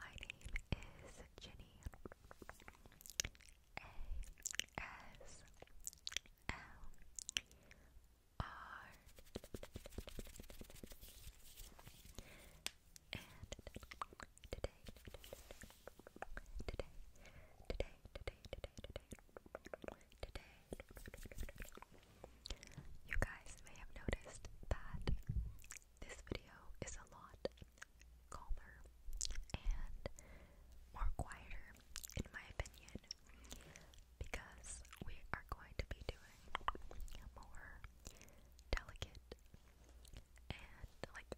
My name is Ginny. A S L R. And today, today, today, today, today, today, today, you guys may have noticed that this video is a lot calmer and more quieter, in my opinion, because we are going to be doing more delicate and like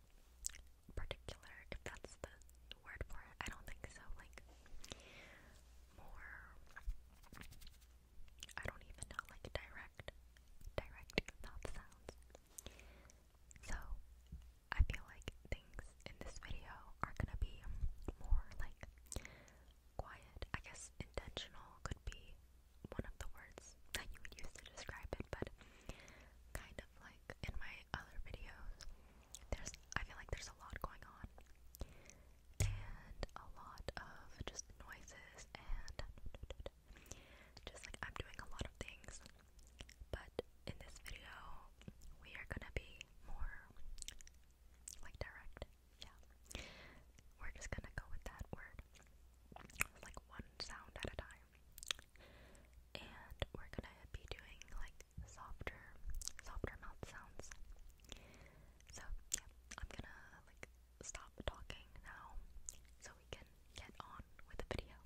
particular, if that's the word for it. I don't think so. Like more, I don't even know, like direct, direct mouth sounds. So, I feel like things in this video are gonna be more like quiet. I guess intentional could be one of the words that you would use to describe it, but kind of like in my other videos, there's I feel like there's a lot going on and a lot of just noises and just like I'm doing a lot of things, but in this video, we are gonna be more like direct. Yeah, we're just gonna go with that word like one sound at a time, and we're gonna be doing like softer, softer mouth sounds. So, yeah, I'm gonna like stop talking now so we can get on with the video.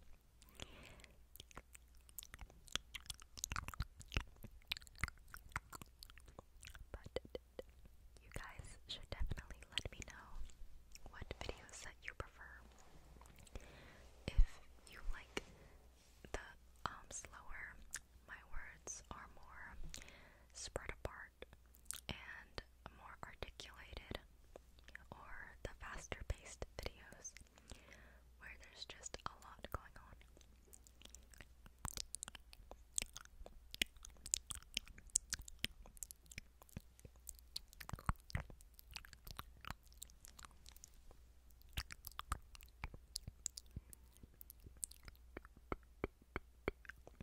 But you guys should definitely let me know what videos that you prefer. If you like the um slower, my words are more spread apart and more articulated or the faster paced videos where there's just a lot going on.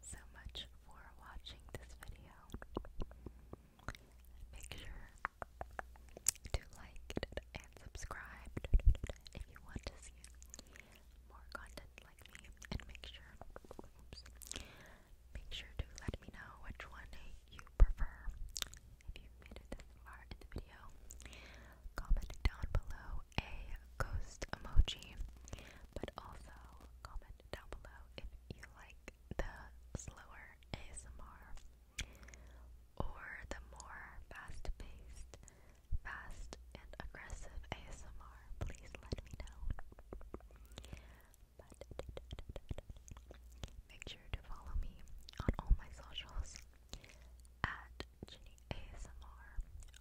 so much for watching this video. Make sure to like and subscribe if you want to see more content like me and make sure oops, make sure to let me know which one you prefer. If you made it far in the video, comment down below a ghost emoji, but also comment comment down below if you like the slower ASMR or the more fast-paced, fast and aggressive ASMR. Please let me know. But make sure to follow me on all my socials at Ginny ASMR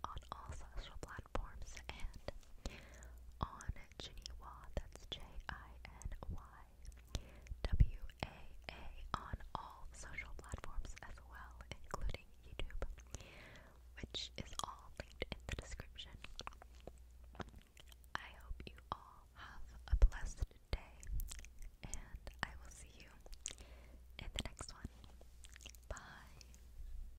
on all social platforms platforms and on Genewa, that's J I N Y W A A, on all social platforms as well, including YouTube, which is all linked in the description. I hope you all have a blessed day, and I will see you in the next one. Bye.